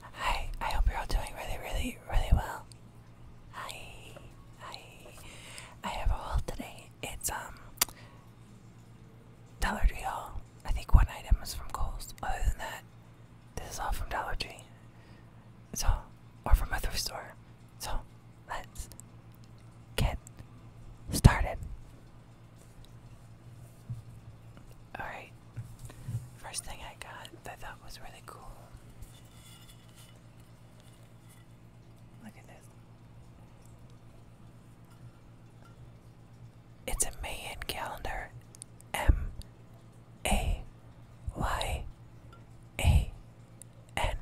Hi, I hope you're all doing really, really, really well. Hi, hi. I have a haul today. It's um Dollar Tree haul. I think one item is from Kohl's. Other than that, this is all from Dollar Tree. So, or from a thrift store. So, let's get started. Alright, first thing I got that I thought was really cool. Look at this. It's a Mayan calendar. M A Y A N.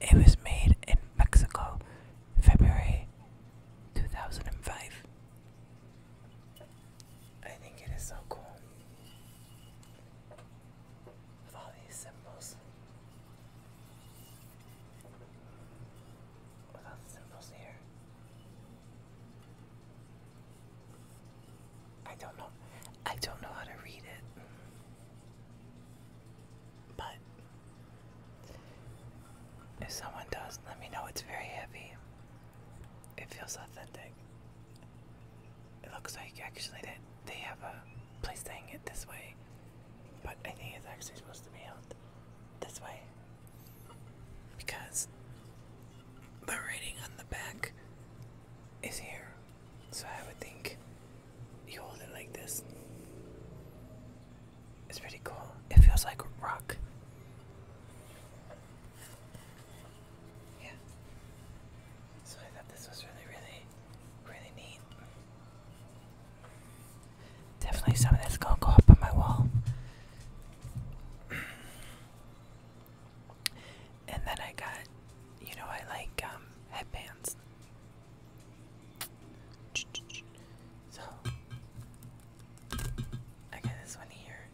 It was made in Mexico, February 2005. I think it is so cool all these symbols. With all the symbols here. I don't know. I don't know how to read it. But if someone does, let me know. It's very heavy. It feels authentic. It looks like actually that they, have a place to hang it this way, but I think it's actually supposed to be held this way because the writing on the back is here. So I would think you hold it like this. It's pretty cool. It feels like rock. Yeah. So I thought this was really, really, really neat. Definitely some that's gonna go up on my wall. and then I got, you know, I like um, headbands. So I got this one here.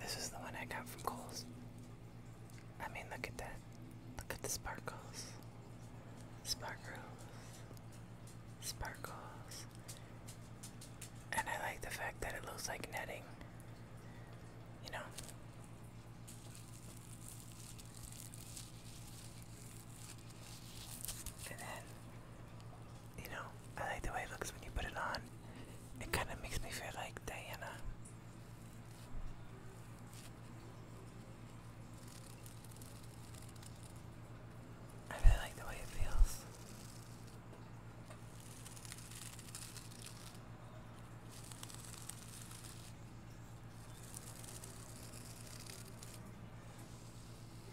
This is the one I got from Kohl's. I mean, look at that. Look at the sparkles. Sparkles. Sparkles. And I like the fact that it looks like netting. You know? And then, you know, I like the way it looks when you put it on. It kind of makes me feel like Diana. I really like the way it feels.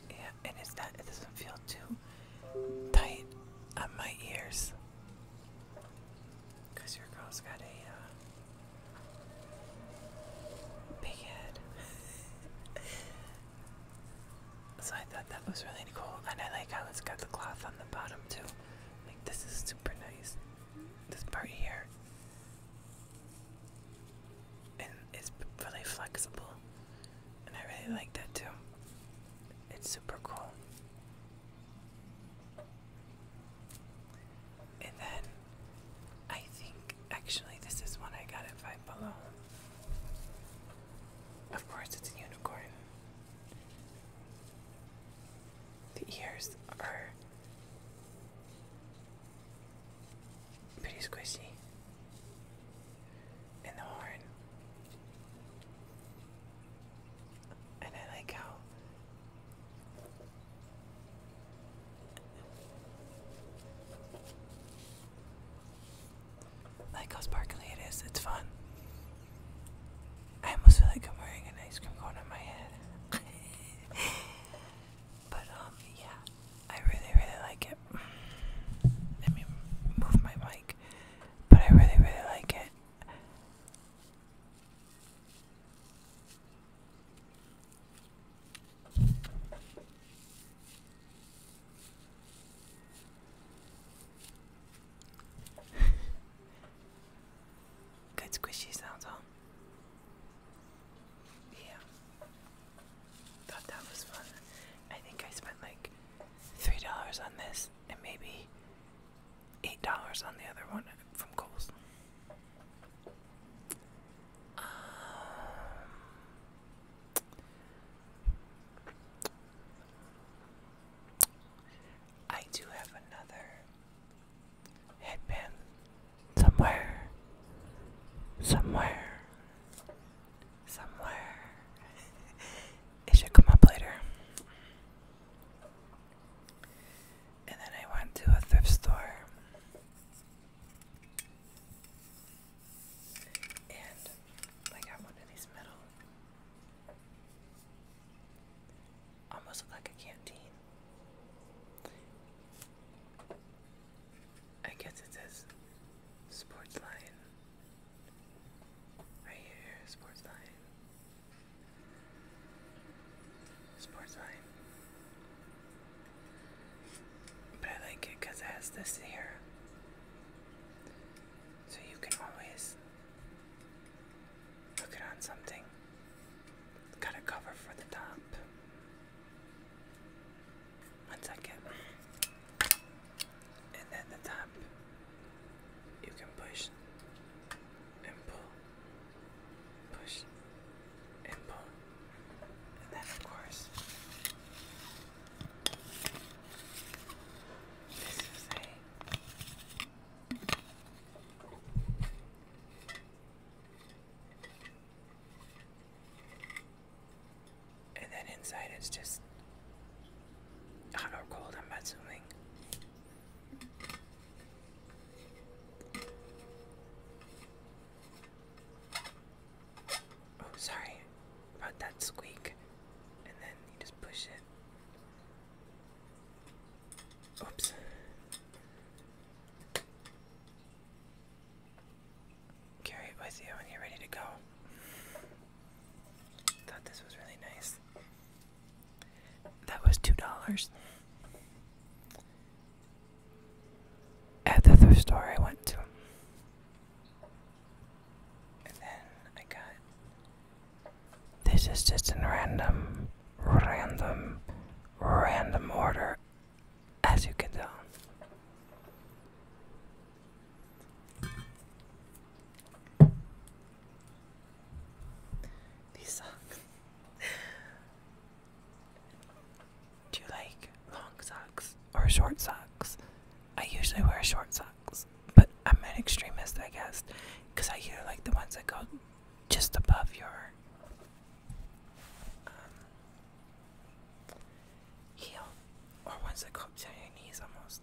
Yeah, and it's not, it doesn't feel too tight on my ears. Because your girl's got a uh, big head. so I thought that was really cool. And I like how it's got the cloth on the bottom too. Like, this is super nice. This part here. And it's really flexible. And I really like that too. It's super cool. And then I think actually this is one I got at Five Below. Of course, it's a unicorn. The ears are Pretty squishy. And the horn. And I like how like how sparkly it is, it's fun. I almost feel like I'm wearing an ice cream cone on my head. But um, yeah, I really, really like it. Let me move my mic. But I really, really like it. Good squishy sounds, huh? Yeah thought that was fun. I think I spent like three dollars on this and maybe eight dollars on the other one from Kohl's. Um, I do have another headband somewhere, somewhere somewhere. it should come up later. And then I went to a thrift store. And I got one of these metal. Almost like a canteen. I guess it says sports line. Right here, sports line. Sports line. But I like it because it has this here. So you can always look it on something. got a cover for the top. One second. And then the top, you can push and pull, push and pull. And then, of course, this is a. And then inside it's just hot or cold, I'm assuming. Oh, sorry about that squeak. And then you just push it. Oops. Carry it with you when you're ready to go. Thought this was really nice. That was two dollars. At the thrift store I went to. And then I got this is just in random, random, random order as you can tell. These socks. Do you like long socks or short socks? I usually wear short socks, but I'm an extremist, I guess, because I either like the ones that go just above your um, or once I go up your knees almost.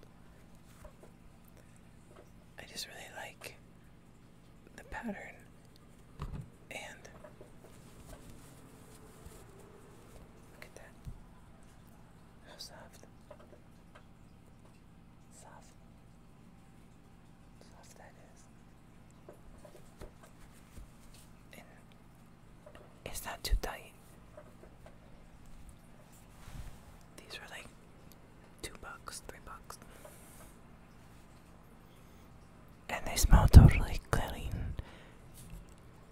I just really like the pattern and look at that. How soft. Soft. Soft that is and it's too tight. These were like two bucks, three bucks. And they smell totally clean.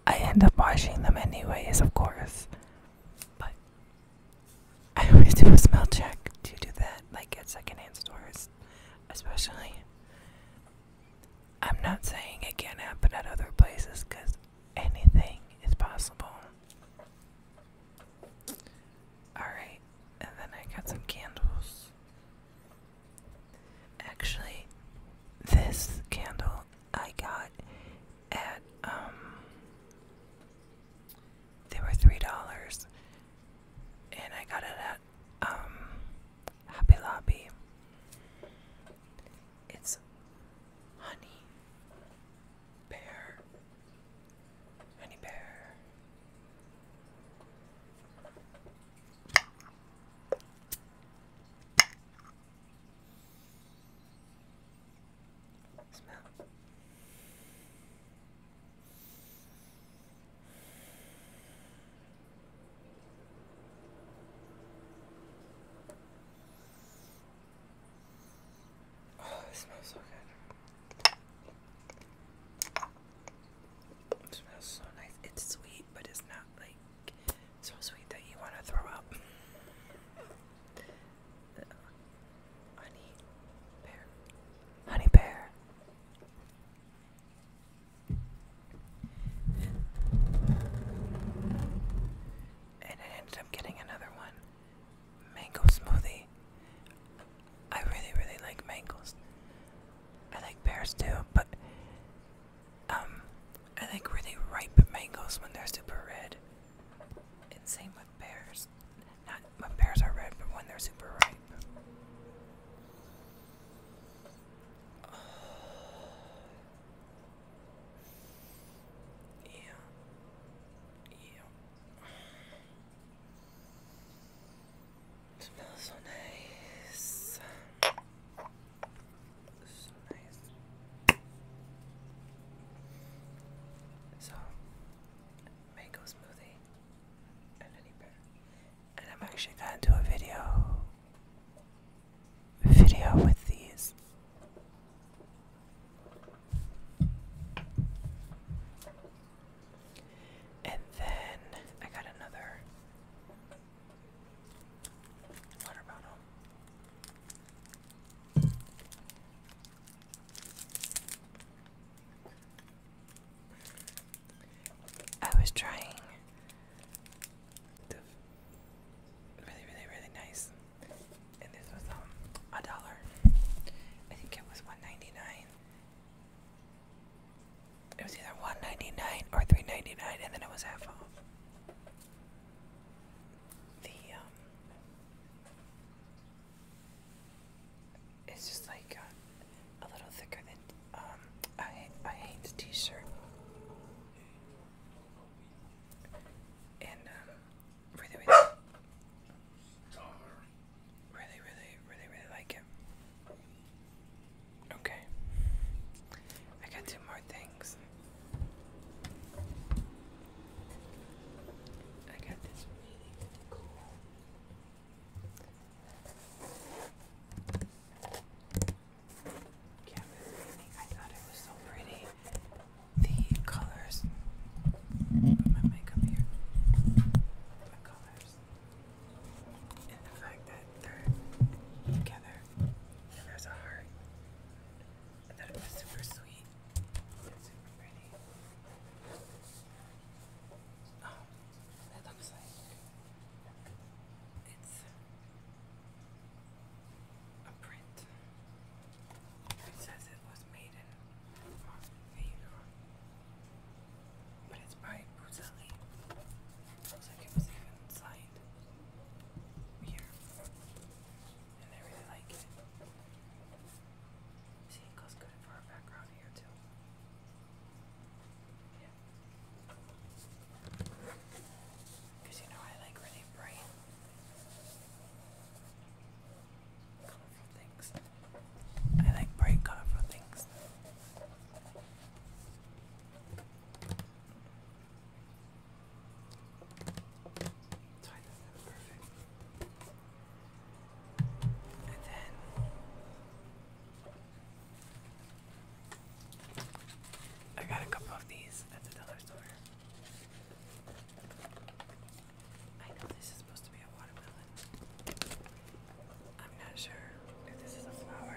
I end up washing them anyways, of course. But I always do a smell check to do that, like at secondhand stores, especially. I'm not saying it can't happen at other places because anything is possible. Alright, and then I got some candles. Actually, this candle I got at, um, they were $3, and I got it at, um, Happy Lobby. It's honey bear. Honey bear. Smell. Oh, it smells so good. It smells so nice. It's sweet, but it's not like so sweet that you want to throw up. honey pear. Honey pear. And it ends up getting another one mango smoothie. I really, really like mangoes. I like pears too, but um, I like really ripe mangoes when they're super red. same with pears. Not when pears are red, but when they're super ripe. Uh, yeah. Yeah. It smells So nice. So, mango smoothie and any pear and I'm actually gonna do a video video with these. And then I got another water bottle. I was trying to really, really, really nice. And this was um, a dollar. I think it was one ninety nine. It was either one ninety nine or three ninety nine, and then it was half off. The um, it's just like uh, a little thicker than um, I, I hate the t-shirt. And um, really, really, really, really, like it. Okay, I got two more things. I got this really cool I thought it was so pretty. The colors. my makeup here. The colors. And the fact that they're together. And there's a heart. I thought it was super sweet. It's super pretty. Oh, that looks like it's a print. It says it was made in Montenegro, but it's by Buzzelli. Looks it was even signed here, and I really like it. See, it goes good for our background here too. Because you know I like really bright, colorful things. I like bright, colorful things. perfect. And then I got a couple of these at the dollar store. I know this is supposed to be a watermelon. I'm not sure if this is a flower.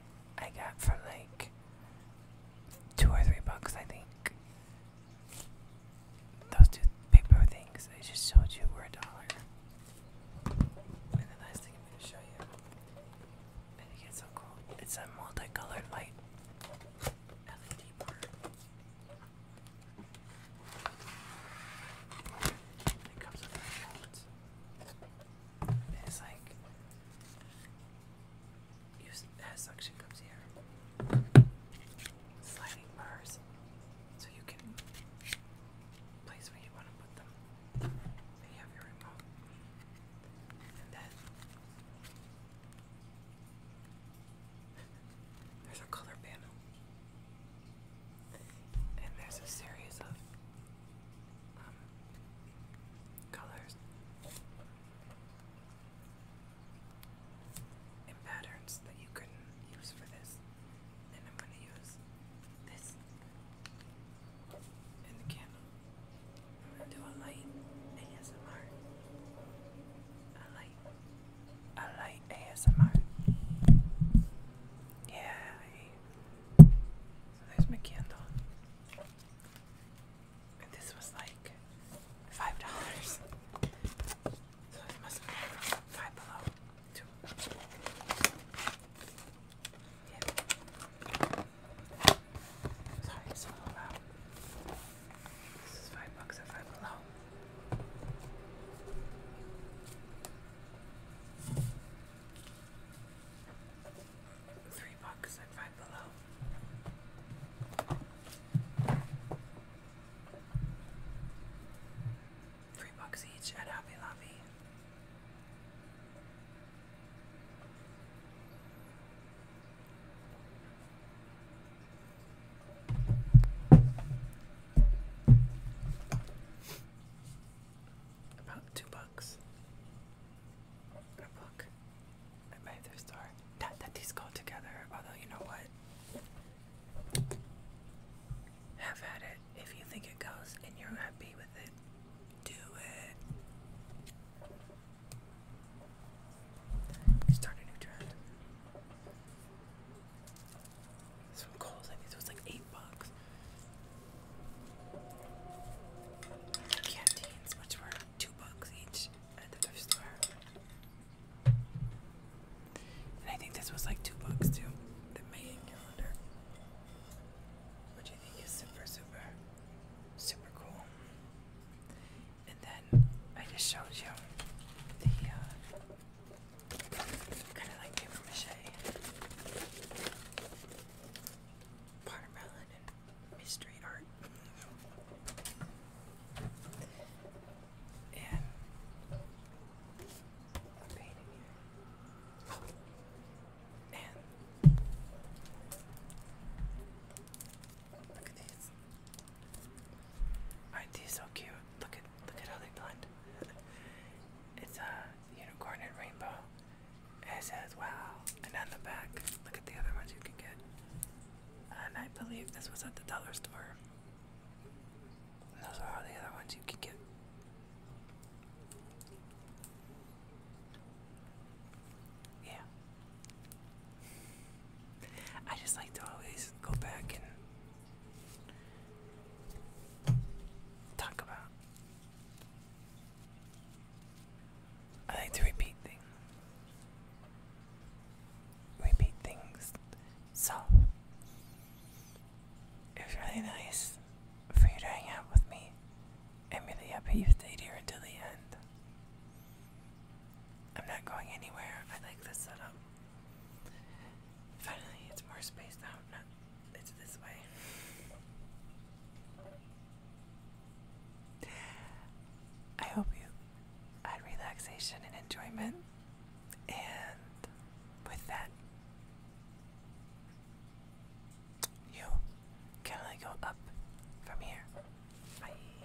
I got for like two or three bucks, I think. Those two paper things I just showed you were a dollar. And the last thing I'm going to show you, I think it's so cool. It's a multicolored light LED bar. It comes with a It's like use has suction comes here. Sliding bars. So you can place where you want to put them. you have your remote. And then there's a color panel. And there's a series of um, colors and patterns that you could use for this. And I'm going to use this and the candle. i do a light ASMR. A light, a light ASMR. Yeah. there's my candle. And this was like five dollars. So it must have five below to yeah. Sorry, it's so loud. This is five bucks at five below three bucks at Five Below. Three bucks each at Hobby Lobby. About two bucks a book at my thrift store. Not that these go together, although you know what? Have at it. If you think it goes and you're happy with it, do it. Start a new trend. This one Kohl's, I think this was like eight bucks canteens, which were two bucks each at the thrift store. And I think this was like two bucks too. The Mayan calendar. Which I think is super, super, super cool. And then I just showed you the uh, kind of like paper mache watermelon and mystery art. and painting And look at these. Aren't these so cute? Look at look at how they blend. it's a unicorn and rainbow. It says wow. And on the back, look at the other ones you can get. And I believe this was at the dollar store. those are all the other ones you can get. Yeah. I just like to always go back and talk about I like to repeat things. Repeat things. So, it was really nice for you to hang out with me. I'm really happy you stayed here until the end. I'm not going anywhere. I like this setup. Finally, it's more spaced out, it's this way. I hope you had relaxation and enjoyment. And with that, you can only go up from here. Bye.